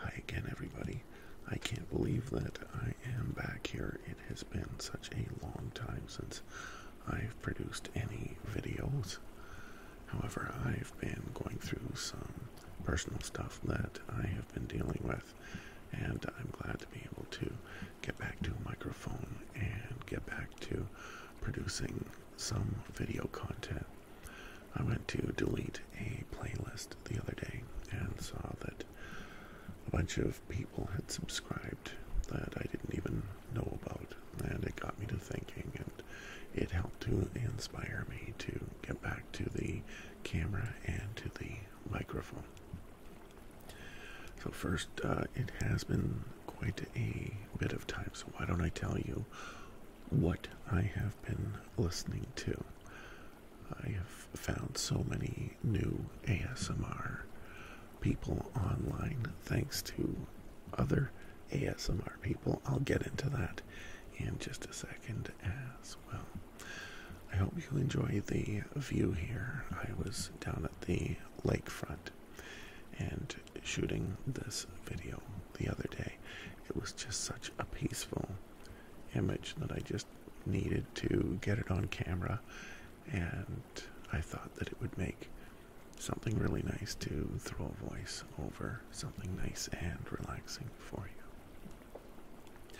Hi again, everybody. I can't believe that I am back here. It has been such a long time since I've produced any videos. However, I've been going through some personal stuff that I have been dealing with, and I'm glad to be able to get back to a microphone and get back to producing some video content. I went to delete a playlist the other day and saw that a bunch of people had subscribed that I didn't even know about, and it got me to thinking, and it helped to inspire me to get back to the camera and to the microphone. So, first, uh, it has been quite a bit of time, so why don't I tell you what I have been listening to. I have found so many new ASMR people online thanks to other ASMR people. I'll get into that in just a second as well. I hope you enjoy the view here. I was down at the lakefront and shooting this video the other day. It was just such a peaceful image that I just needed to get it on camera, and I thought that it would make something really nice to throw a voice over something nice and relaxing for you.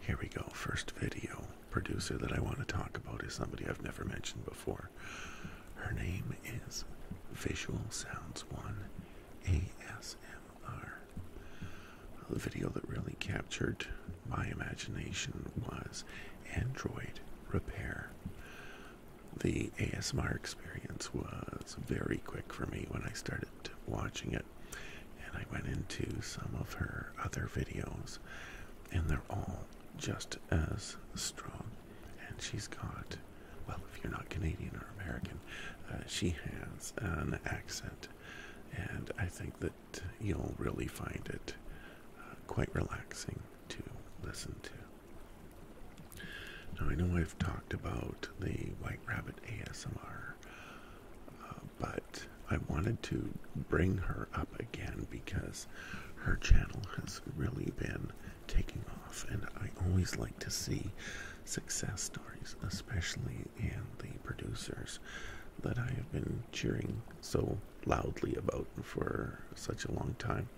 Here we go, first video producer that I want to talk about is somebody I've never mentioned before. Her name is Visual Sounds 1 ASM the video that really captured my imagination was Android Repair. The ASMR experience was very quick for me when I started watching it, and I went into some of her other videos, and they're all just as strong. And she's got well, if you're not Canadian or American, uh, she has an accent, and I think that you'll really find it uh, quite relaxing to listen to. Now, I know I've talked about the White Rabbit ASMR, uh, but I wanted to bring her up again because her channel has really been taking and I always like to see success stories, especially in the producers that I have been cheering so loudly about for such a long time.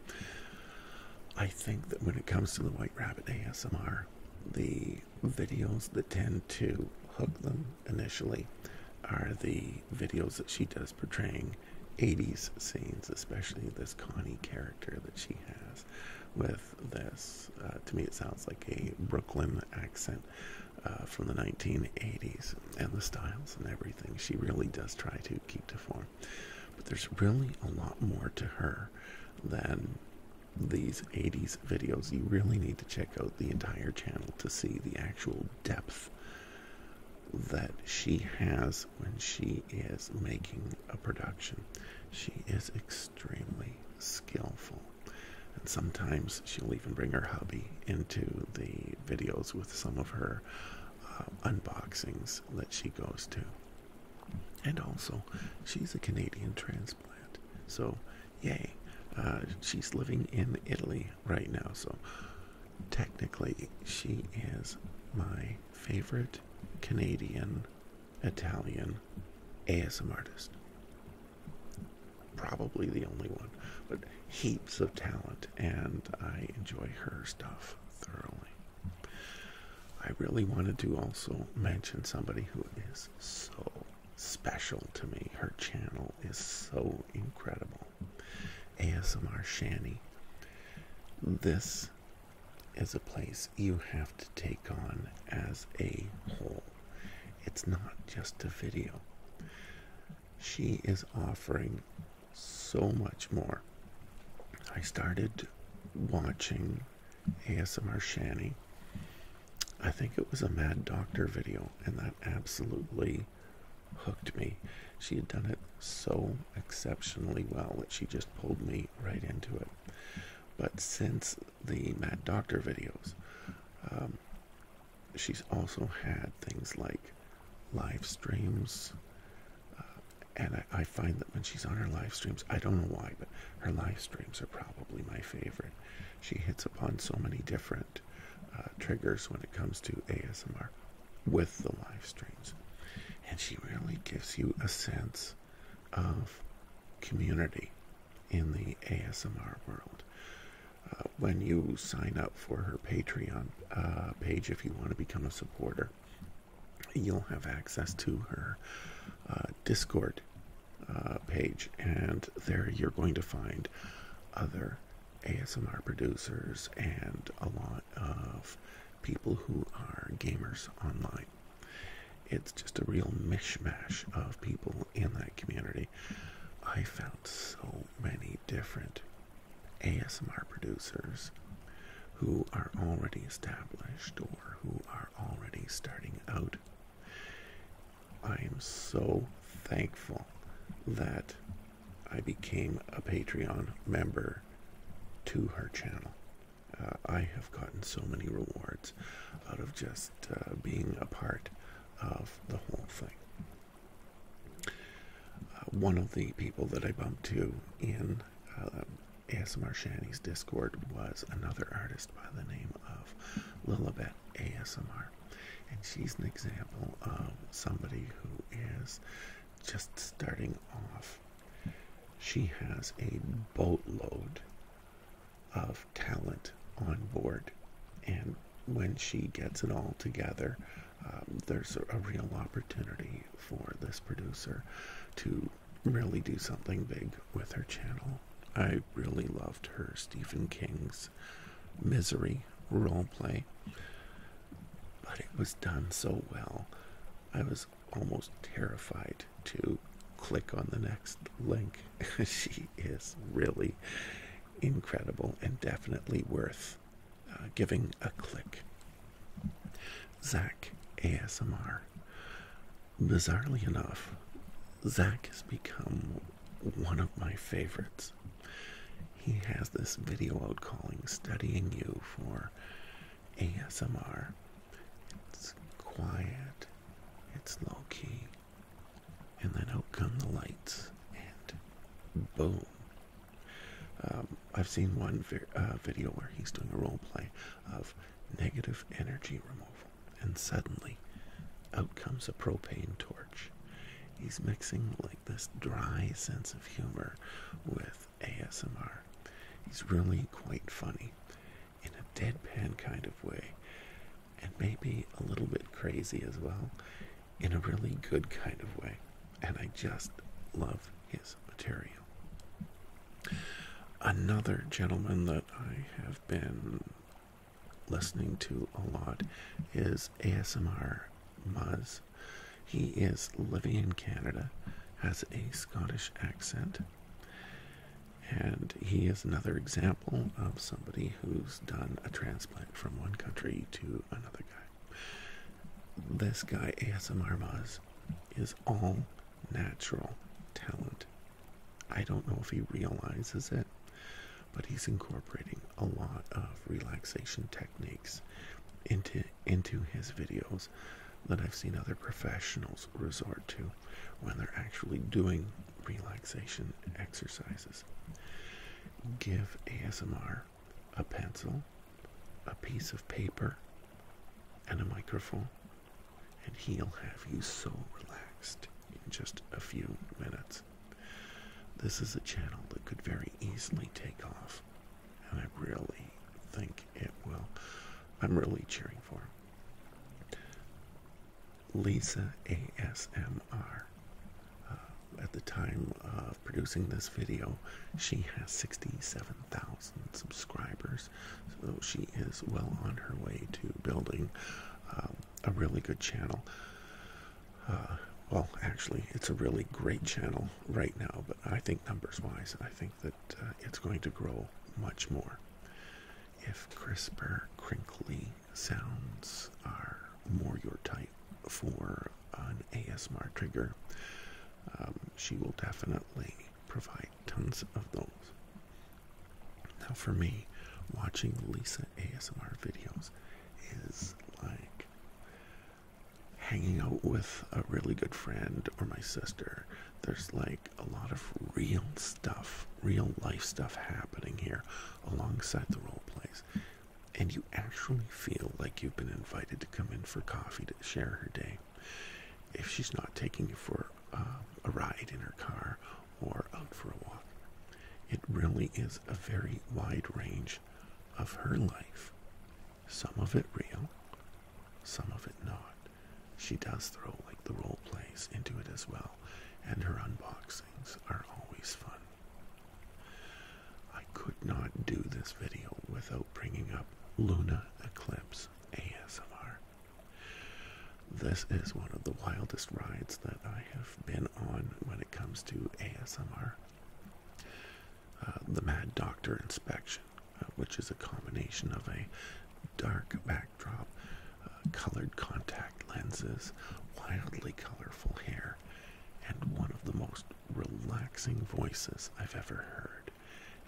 I think that when it comes to the White Rabbit ASMR, the videos that tend to hook them initially are the videos that she does portraying 80s scenes, especially this Connie character that she has with this. Uh, to me, it sounds like a Brooklyn accent uh, from the 1980s, and the styles and everything. She really does try to keep to form, but there's really a lot more to her than these 80s videos. You really need to check out the entire channel to see the actual depth that she has when she is making a production. She is extremely skillful. And sometimes she'll even bring her hubby into the videos with some of her uh, unboxings that she goes to. And also, she's a Canadian transplant. So, yay. Uh, she's living in Italy right now. So, technically, she is my favorite Canadian Italian American ASM artist. Probably the only one, but heaps of talent, and I enjoy her stuff thoroughly. I really wanted to also mention somebody who is so special to me. Her channel is so incredible. ASMR Shani. This is a place you have to take on as a whole. It's not just a video. She is offering so much more. I started watching ASMR Shani. I think it was a Mad Doctor video, and that absolutely hooked me. She had done it so exceptionally well that she just pulled me right into it but since the Mad Doctor videos, um, she's also had things like live streams. Uh, and I, find that when she's on her live streams, I don't know why, but her live streams are probably my favorite. She hits upon so many different uh, triggers when it comes to ASMR with the live streams. And she really gives you a sense of community in the ASMR world. Uh, when you sign up for her Patreon uh, page, if you want to become a supporter, you'll have access to her uh, Discord page, and there you're going to find other ASMR producers and a lot of people who are gamers online it's just a real mishmash of people in that community. I found so many different ASMR producers who are already established or who are already starting out. I am so thankful that I became a Patreon member to her channel uh, I have gotten so many rewards out of just uh, being a part of the whole thing. Uh, one of the people that I bumped to in ASMR Shanny's Discord was another artist by the name of Lilibet ASMR. And she's an example of somebody who is just starting off she has a boatload of talent on board, and when she gets it all together, um, there's a, a real opportunity for this producer to really do something big with her channel. I really loved her Stephen King's Misery role play, but it was done so well. I was almost terrified to click on the next link. she is really incredible and definitely worth uh, giving a click. Zach ASMR. Bizarrely enough, Zach has become one of my favorites. He has this video out calling Studying You for ASMR. It's quiet, it's low key, and then out come the lights, and boom. Um, I've seen one uh, video where he's doing a role play of negative energy removal, and suddenly out comes a propane torch. He's mixing like this dry sense of humor with ASMR. He's really quite funny in a deadpan kind of way, and maybe a little bit crazy as well, in a really good kind of way. And I just love his material. Another gentleman that I have been listening to a lot is ASMR Muz. He is living in Canada, has a Scottish accent, and he is another example of somebody who's done a transplant from one country to another guy. This guy, ASMR Muzz, is all natural talent. I don't know if he realizes it, but he's incorporating a lot of relaxation techniques into into his videos that I've seen other professionals resort to when they're actually doing relaxation exercises. Give ASMR a pencil, a piece of paper, and a microphone, and he'll have you so relaxed in just a few minutes. This is a channel that could very easily take off, and I really think it will. I'm really cheering for him. Lisa ASMR. Uh, at the time of producing this video, she has 67,000 subscribers, so she is well on her way to building um, a really good channel. Uh, well, actually, it's a really great channel right now, but I think numbers wise, I think that uh, it's going to grow much more. If crisper, crinkly sounds are more your type for an ASMR trigger, um, she will definitely provide tons of those. Now, for me, watching Lisa ASMR videos is like hanging out with a really good friend or my sister there's like a lot of real stuff, real life stuff happening here alongside the role plays. And you actually feel like you've been invited to come in for coffee to share her day. If she's not taking you for uh, a ride in her car or out for a walk, it really is a very wide range of her life. Some of it real, some of it not. She does throw like the role plays into it as well, and her unboxings are always fun. I could not do this video without bringing up Luna Eclipse ASMR. This is one of the wildest rides that I have been on when it comes to ASMR. Uh, the Mad Doctor Inspection uh, which is a combination of a dark backdrop, uh, colored contact lenses, wildly colorful hair, and one of the most relaxing voices I've ever heard.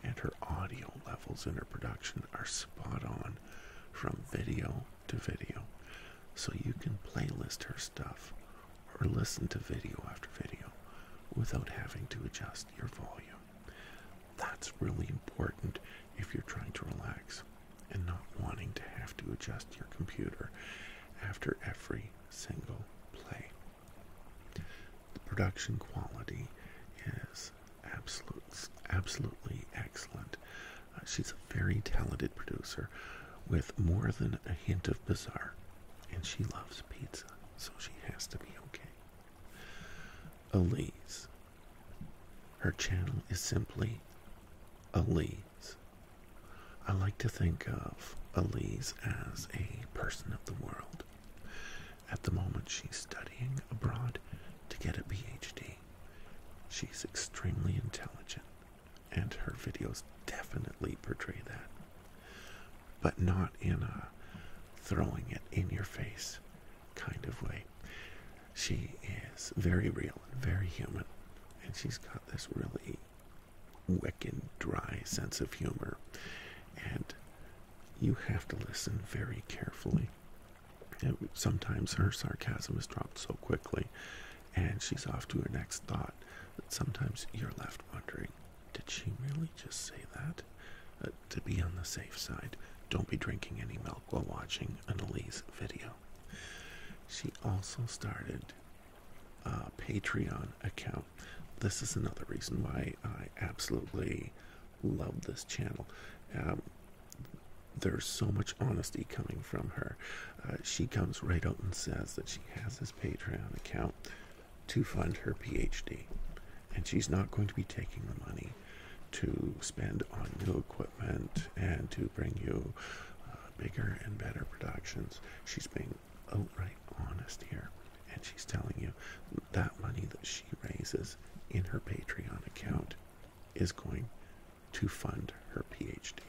And her audio levels in her production are spot on from video to video. So you can playlist her stuff or listen to video after video without having to adjust your volume. That's really important if you're trying to relax and not wanting to have to adjust your computer after every single play. The production quality is absolute, absolutely excellent. Uh, she's a very talented producer with more than a hint of bizarre, and she loves pizza, so she has to be okay. Elise. Her channel is simply Elise. I like to think of Elise as a person of the world. At the moment, she's studying abroad to get a PhD. She's extremely intelligent, and her videos definitely portray that but not in a throwing it in your face kind of way. She is very real and very human, and she's got this really wicked, dry sense of humor. And you have to listen very carefully. sometimes her sarcasm is dropped so quickly, and she's off to her next thought that sometimes you're left wondering did she really just say that? Uh, to be on the safe side, don't be drinking any milk while watching an video. She also started a Patreon account. This is another reason why I absolutely love this channel. Um, there's so much honesty coming from her. Uh, she comes right out and says that she has this Patreon account to fund her PhD. And she's not going to be taking the money to spend on new equipment and to bring you uh, bigger and better productions. She's being outright honest here. And she's telling you that money that she raises in her Patreon account is going to fund her PhD.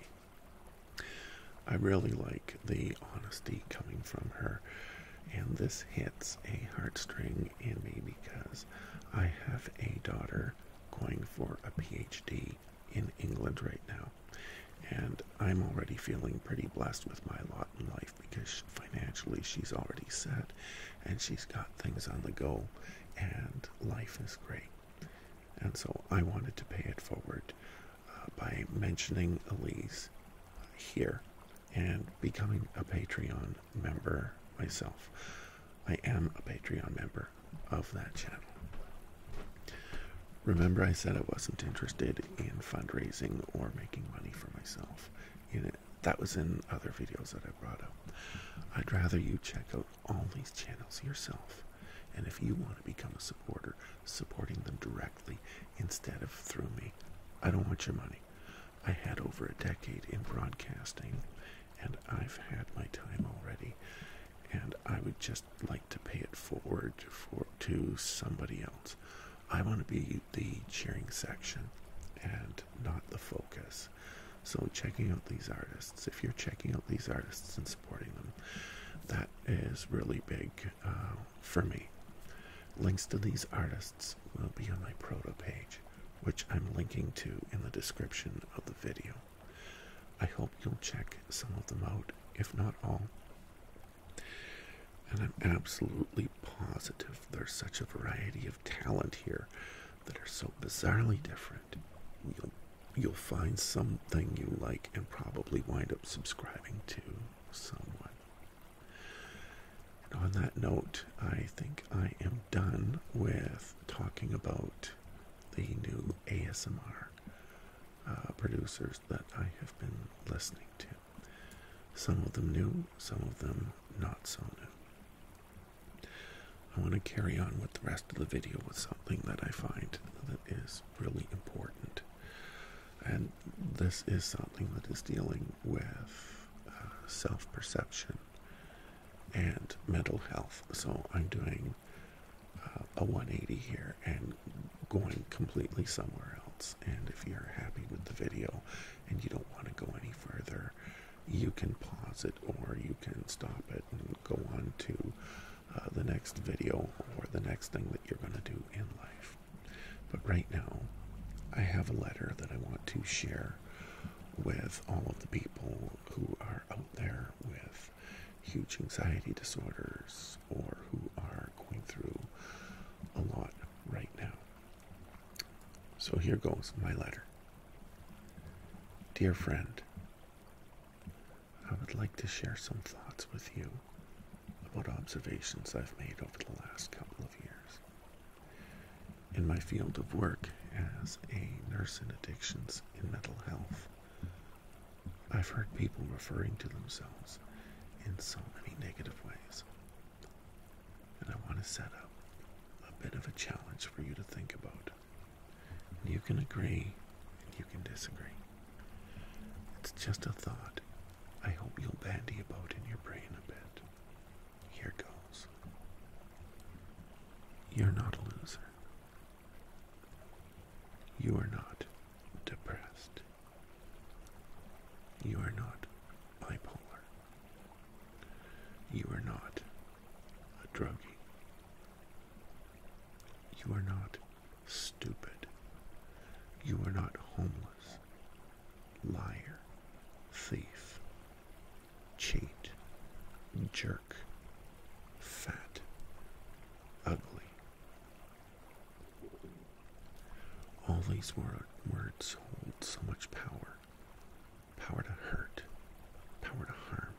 I really like the honesty coming from her, and this hits a heartstring in me because I have a daughter going for a PhD in England right now. And I'm already feeling pretty blessed with my lot in life because financially she's already set and she's got things on the go and life is great. And so I wanted to pay it forward uh, by mentioning Elise here and becoming a Patreon member myself. I am a Patreon member of that channel. Remember, I said I wasn't interested in fundraising or making money for myself. It, that was in other videos that I brought up. I'd rather you check out all these channels yourself. And if you want to become a supporter, supporting them directly instead of through me. I don't want your money. I had over a decade in broadcasting, and I've had my time already, and I would just like to pay it forward for to somebody else. I want to be the cheering section and not the focus. So checking out these artists, if you're checking out these artists and supporting them, that is really big uh, for me. Links to these artists will be on my Proto page, which I'm linking to in the description of the video. I hope you'll check some of them out, if not all. And I'm absolutely positive there's such a variety of talent here that are so bizarrely different. you'll find something you like and probably wind up subscribing to someone on that note, I think I am done with talking about the new ASMR uh, producers that I have been listening to. Some of them new, some of them not so new. I want to carry on with the rest of the video with something that I find that is really important. And this is something that is dealing with uh, self perception, and mental health. So I'm doing uh, a 180 here and going completely somewhere else. And if you're happy with the video and you don't want to go any further, you can pause it or you can stop it and go on to uh, the next video or the next thing that you're going to do in life. But right now, I have a letter that I want to share with all of the people who are out there with huge anxiety disorders or who are going through a lot right now. So here goes my letter. Dear friend, I would like to share some thoughts with you about observations I've made over the last couple of years in my field of work as a nurse in addictions and mental health. I've heard people referring to themselves in so many negative ways. And I want to set up a bit of a challenge for you to think about. you can agree and you can disagree. It's just a thought I hope you'll bandy about in your brain a bit. Here goes. You're not a loser. You are not depressed. You are not bipolar. You are not a druggie. You are not stupid. You are not homeless liar, thief, cheat, jerk, fat, ugly. All these words hold so much power power to hurt, power to harm.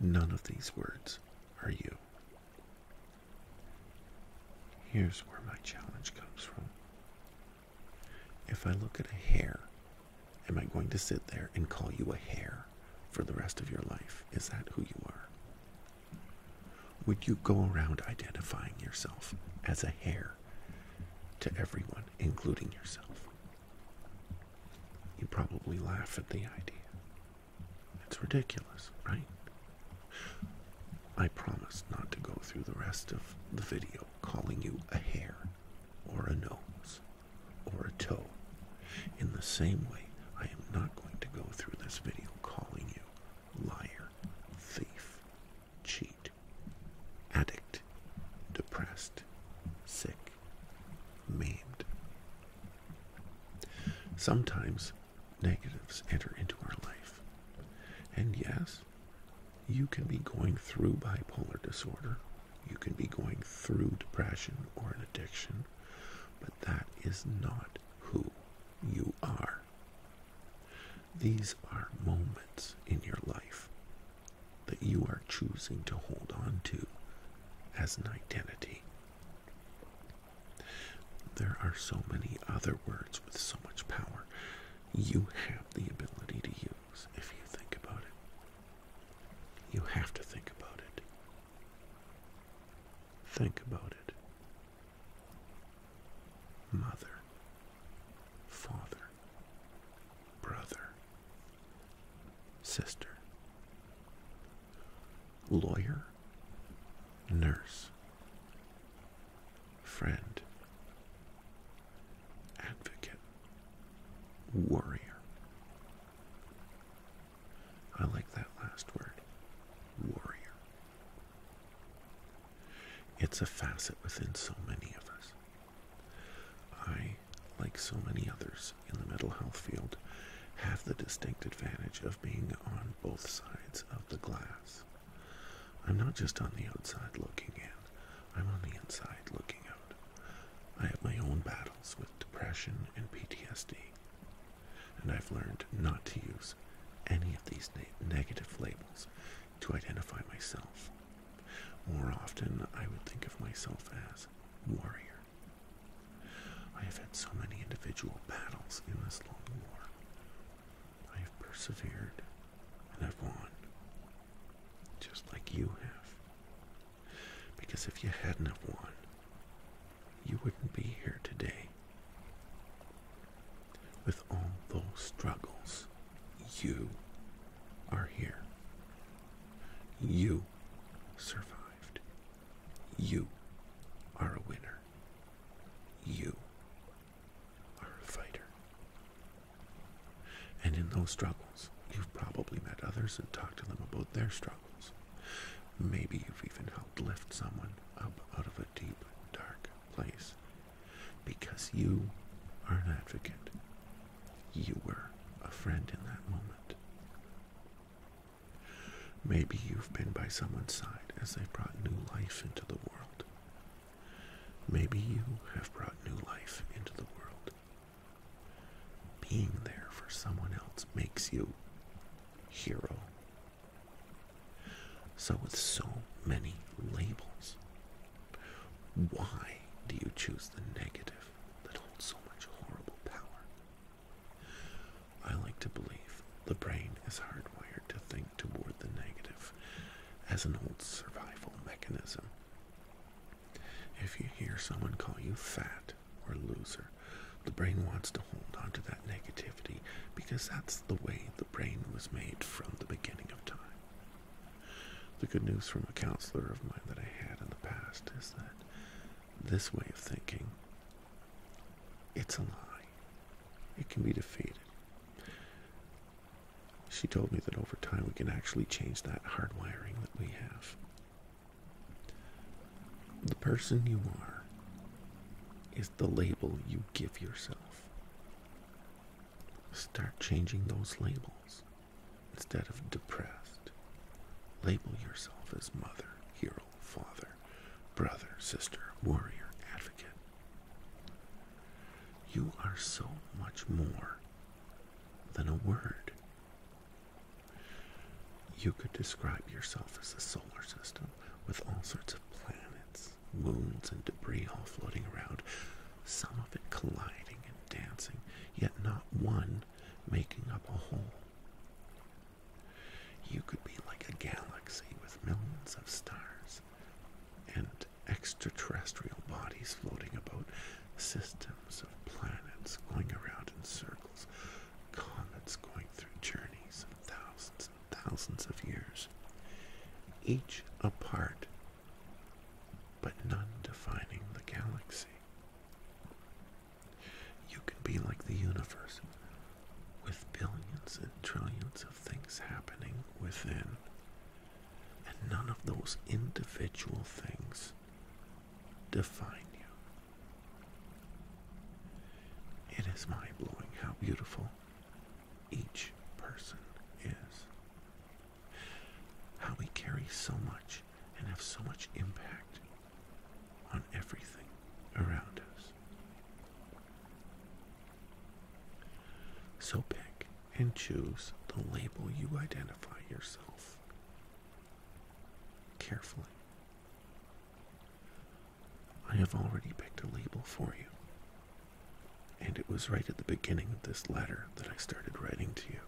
None of these words are you. Here's where my challenge comes from. If I look at a hair, am I going to sit there and call you a hair for the rest of your life? Is that who you are? Would you go around identifying yourself as a hair to everyone, including yourself? You probably laugh at the idea. It's ridiculous, right? I promise not to go through the rest of the video calling you a hair or a nose or a toe. In the same way, I am not going to go through this video calling you liar, thief, cheat, addict, depressed, sick, maimed. Sometimes negatives enter into our life. And yes, you can be going through bipolar disorder, you can be going through depression or an addiction, but that is not who you are. These are moments in your life that you are choosing to hold on to as an identity. There are so many other words with so much power you have the ability to use if you think about it. You have to think about it. Think about it. Mother, father, brother, sister, lawyer, nurse, friend, advocate, warrior. I like that last word, warrior. It's a facet within so many of us. I, like so many others in the mental health field, have the distinct advantage of being on both sides of the glass. I'm not just on the outside looking in, I'm on the inside looking out. I have my own battles with depression and PTSD, and I've learned not to use any of these negative labels to identify myself. More often, I would think of myself as warrior. I have had so many individual battles in this long war. I have persevered and I've won, just like you have. Because if you hadn't have won, you wouldn't be here today. With all those struggles, you are here. You survived. You are a winner. You are a fighter. And in those struggles, you've probably met others and talked to them about their struggles. Maybe you've even helped lift someone up out of a deep, dark place. Because you are an advocate. You were a friend in that moment. Maybe you've been by someone's side as they brought new life into the world. Maybe you have brought new life into the world. Being there for someone else makes you hero. So with so many labels, why do you choose the negative that holds so much horrible power? I like to believe the brain is hardwired to think toward the negative as an old survival mechanism. If you hear someone call you fat or loser, the brain wants to hold on to that negativity because that's the way the brain was made from the beginning of time. The good news from a counselor of mine that I had in the past is that this way of thinking it's a lie. It can be defeated. She told me that over time we can actually change that hardwiring that we have. The person you are is the label you give yourself. Start changing those labels. Instead of depressed, label yourself as mother, hero, father brother, sister, warrior, advocate. You are so much more than a word. You could describe yourself as a solar system with all sorts of planets, moons, and debris all floating around, some of it colliding and dancing, yet not one making up a whole. You could be like a galaxy with millions of stars and extraterrestrial bodies floating about, systems of planets going around in circles, comets going through journeys of thousands and thousands of years, each a part, but none defining the galaxy. You can be like the universe, with billions and trillions of things happening within, and none of those individual things define you. It is mind blowing how beautiful each person is. How we carry so much and have so much impact on everything around us. So pick and choose the label you identify yourself carefully. I have already picked a label for you, and it was right at the beginning of this letter that I started writing to you.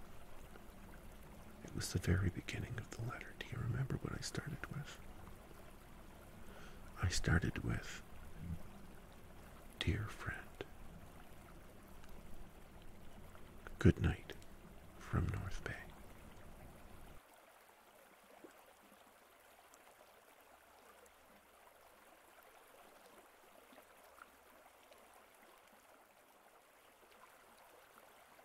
It was the very beginning of the letter. Do you remember what I started with? I started with Dear friend, good night from North Bay.